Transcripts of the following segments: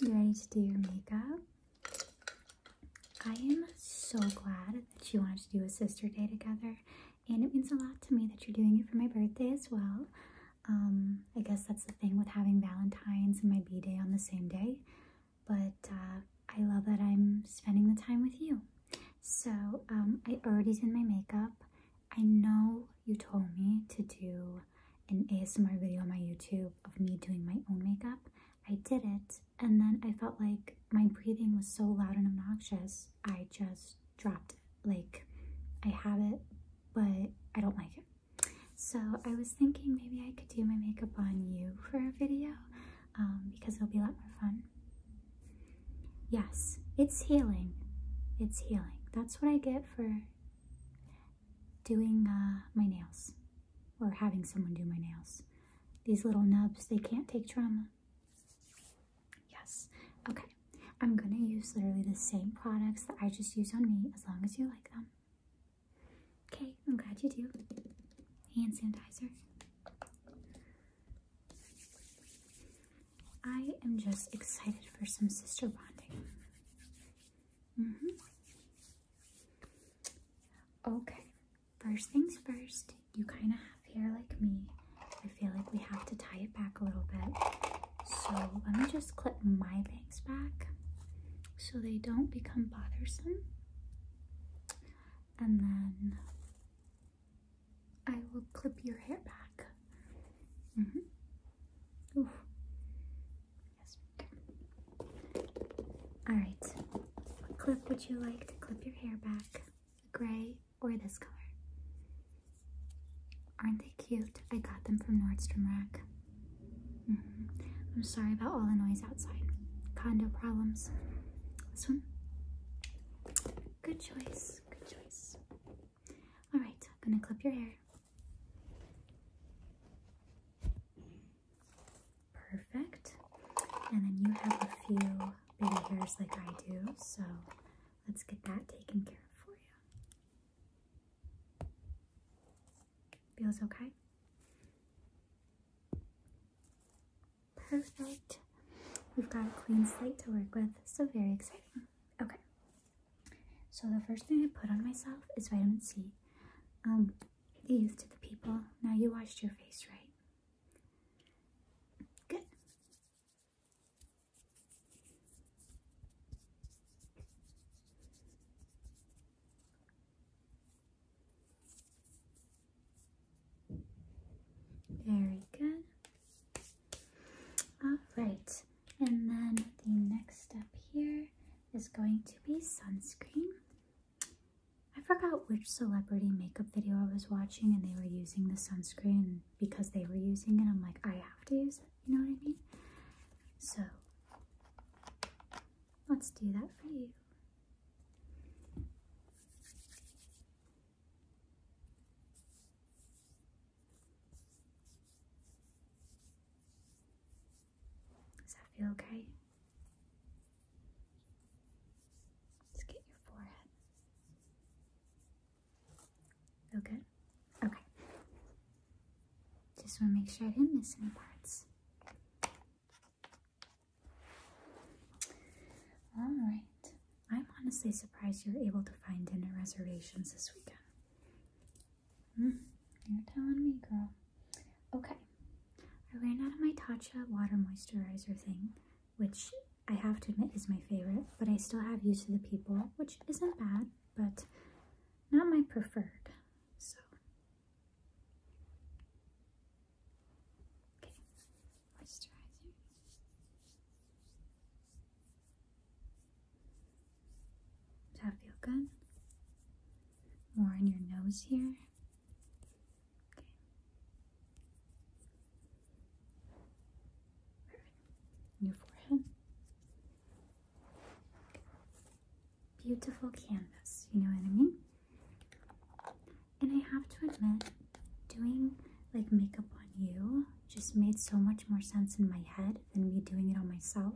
You ready to do your makeup? I am so glad that you wanted to do a sister day together, and it means a lot to me that you're doing it for my birthday as well. Um, I guess that's the thing with having Valentine's and my B day on the same day, but uh, I love that I'm spending the time with you. So, um, I already did my makeup. I know you told me to do an ASMR video on my YouTube of me doing my own makeup. I did it, and then I felt like my breathing was so loud and obnoxious, I just dropped it. Like, I have it, but I don't like it. So I was thinking maybe I could do my makeup on you for a video um, because it'll be a lot more fun. Yes, it's healing. It's healing. That's what I get for doing uh, my nails or having someone do my nails. These little nubs, they can't take trauma. Yes. Okay. I'm going to use literally the same products that I just use on me as long as you like them. Okay. I'm glad you do. Hand sanitizer. I am just excited for some sister bonding. Mm -hmm. Okay, first things first, you kind of have hair like me. I feel like we have to tie it back a little bit. So let me just clip my bangs back so they don't become bothersome. And then I will clip your hair back. Mm -hmm. Oof. Yes. All right. What clip would you like to clip your hair back? The gray or this color? Aren't they cute? I got them from Nordstrom Rack. -hmm. I'm sorry about all the noise outside. Condo problems. This one? Good choice. Good choice. All right, I'm gonna clip your hair. Perfect. And then you have a few baby hairs like I do, so let's get that taken care of for you. Feels okay? Perfect. We've got a clean slate to work with, so very exciting. Okay, so the first thing I put on myself is vitamin C. Um, to the people. Now you washed your face, right? Good. Very good. All right, and then the next step here is going to be sunscreen. I forgot which celebrity makeup video I was watching and they were using the sunscreen because they were using it. I'm like, I have to use it. You know what I mean? So let's do that for you. Does that feel okay? Let's get your forehead. Feel good? Okay. Just want to make sure I didn't miss any parts. All right. I'm honestly surprised you were able to find dinner reservations this weekend. Hmm, you're telling me, girl. Okay. I ran out of my Tatcha water moisturizer thing, which I have to admit is my favorite, but I still have Use of the People, which isn't bad, but not my preferred. So, okay, moisturizer. Does that feel good? More in your nose here. Okay. your forehead. Beautiful canvas, you know what I mean? And I have to admit, doing like makeup on you just made so much more sense in my head than me doing it on myself.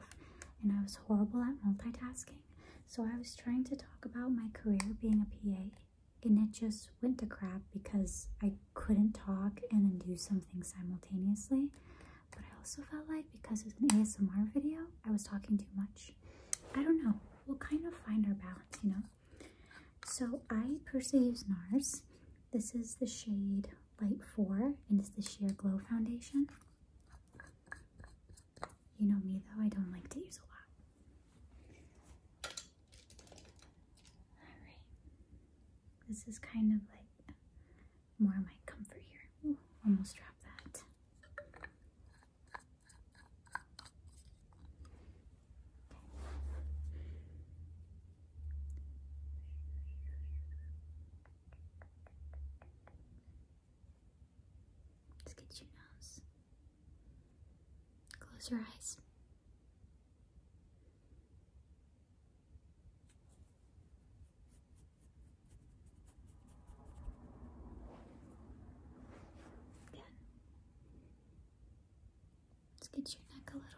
And I was horrible at multitasking. So I was trying to talk about my career being a PA, and it just went to crap because I couldn't talk and then do something simultaneously. But I also felt like because it an ASMR video, I was talking too much. I don't know. We'll kind of find our balance, you know? So I personally use NARS. This is the shade Light 4 and it's the Sheer Glow Foundation. You know me though, I don't like to use a lot. Alright. This is kind of like more my comfort here. almost dropped that. Let's get your nose. Close your eyes. Again. Let's get your neck a little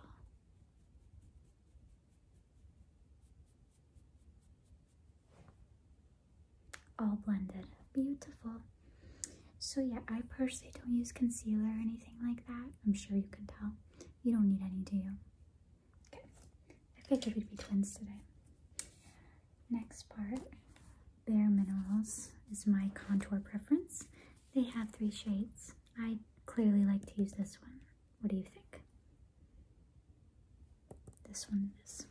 all blended beautiful so yeah i personally don't use concealer or anything like that i'm sure you can tell you don't need any do you okay i figured we'd be twins today next part bare minerals is my contour preference they have three shades I clearly like to use this one. What do you think? This one is.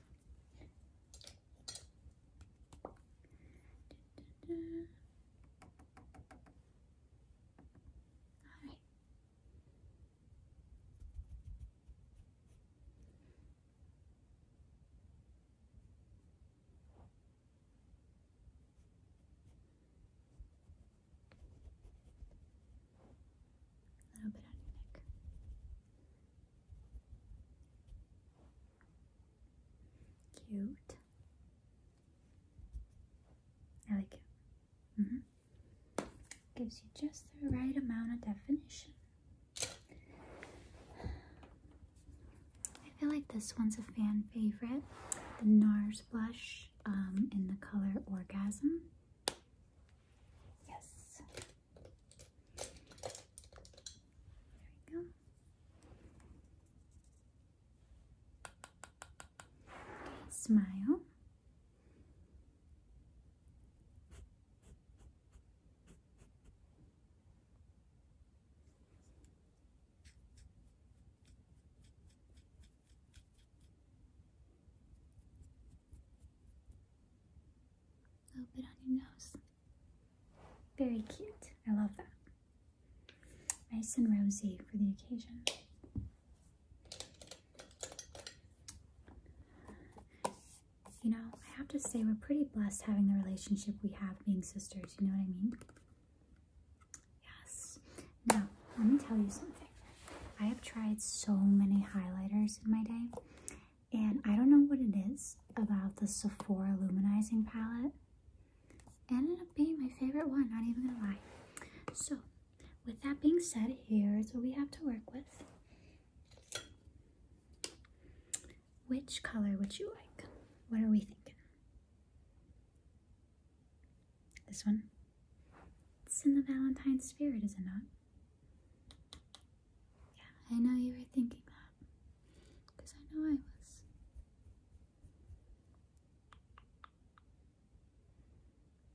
A little bit on your Cute. I like it. Mm-hmm. Gives you just the right amount of definition. I feel like this one's a fan favorite. The NARS blush um, in the color Orgasm. Yes. There we go. smile. A little bit on your nose. Very cute. I love that. Nice and rosy for the occasion. You know, I have to say, we're pretty blessed having the relationship we have being sisters, you know what I mean? Yes. Now, let me tell you something. I have tried so many highlighters in my day, and I don't know what it is about the Sephora Luminizing Palette. ended up being my favorite one, not even gonna lie. So, with that being said, here's what we have to work with. Which color would you like? What are we thinking? This one. It's in the Valentine spirit, is it not? Yeah, I know you were thinking that. Because I know I was.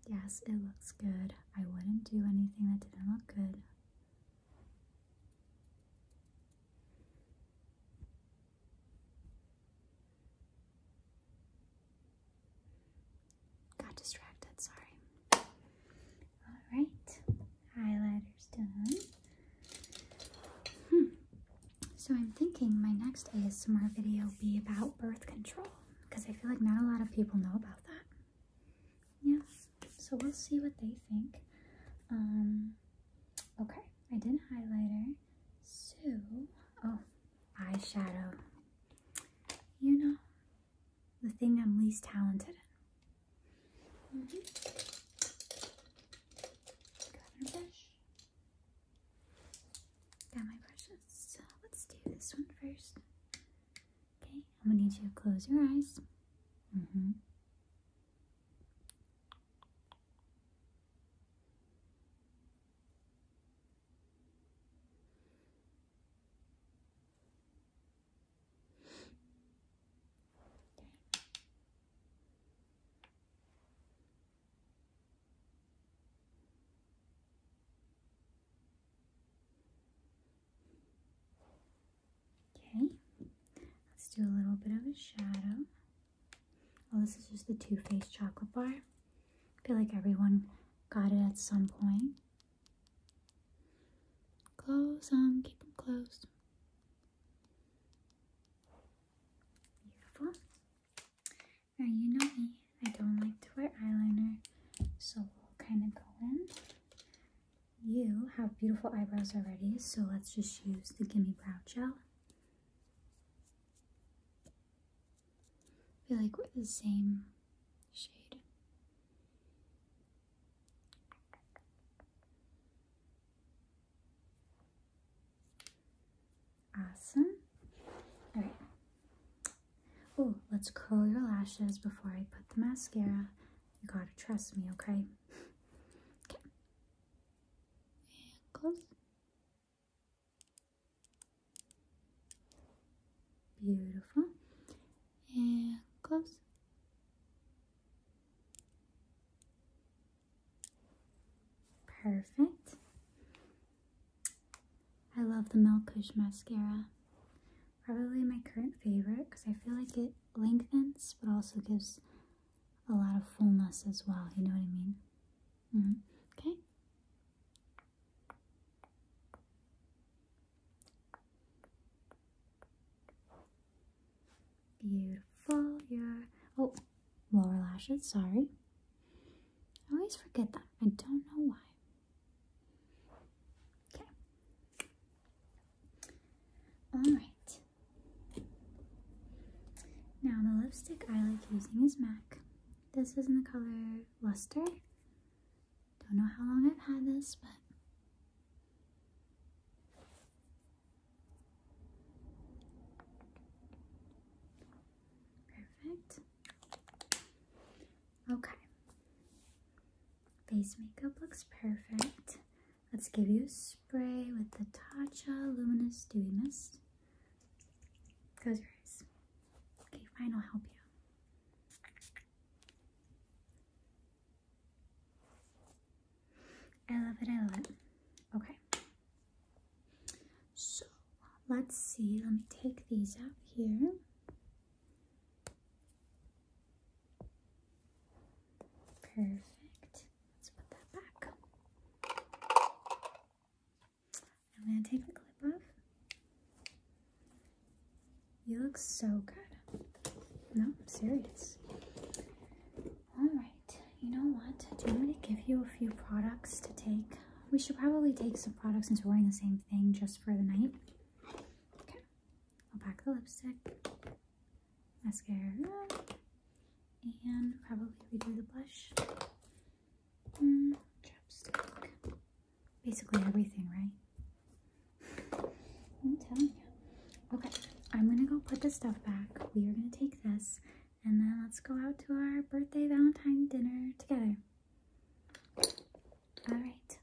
Yes, it looks good. I wouldn't do anything that didn't look good. Got distracted, sorry. Alright, highlighter's done. Hmm. So I'm thinking my next ASMR video will be about birth control because I feel like not a lot of people know about that. Yeah, so we'll see what they think. Um, okay, I did highlighter. So, oh, eyeshadow. You know, the thing I'm least talented in. Mm -hmm. brush. Got my brushes. let's do this one first. Okay, I'm gonna need you to close your eyes. Mm-hmm. Okay, let's do a little bit of a shadow. Oh, this is just the Too Faced chocolate bar. I feel like everyone got it at some point. Close them, um, keep them closed. Beautiful. Now you know me, I don't like to wear eyeliner, so we'll kind of go in. You have beautiful eyebrows already, so let's just use the Gimme Brow Gel. I feel like we're the same shade. Awesome. All right. Oh, let's curl your lashes before I put the mascara. You gotta trust me, okay? Okay close. Beautiful. And close. Perfect. I love the Melkush mascara. Probably my current favorite because I feel like it lengthens but also gives a lot of fullness as well. You know what I mean? Mm-hmm. Okay. Beautiful. Your oh, lower lashes. Sorry. I always forget that. I don't know why. Okay. All right. Now the lipstick I like using is MAC. This is in the color Luster. Don't know how long I've had this, but perfect. Okay. Face makeup looks perfect. Let's give you a spray with the Tatcha Luminous Dewy Mist. Close your eyes. Okay, fine, I'll help you. I love it, I love it. Okay. So, let's see. Let me take these out here. Perfect. Let's put that back. I'm gonna take the clip off. You look so good. No, I'm serious. Alright, you know what? Do you want me to give you a few products to take? We should probably take some products since we're wearing the same thing just for the night. Okay, I'll pack the lipstick mascara, and probably redo the blush, mm, basically everything, right? I'm telling you. Okay, I'm gonna go put this stuff back. We are gonna take this, and then let's go out to our birthday Valentine dinner together. All right,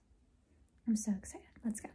I'm so excited. Let's go.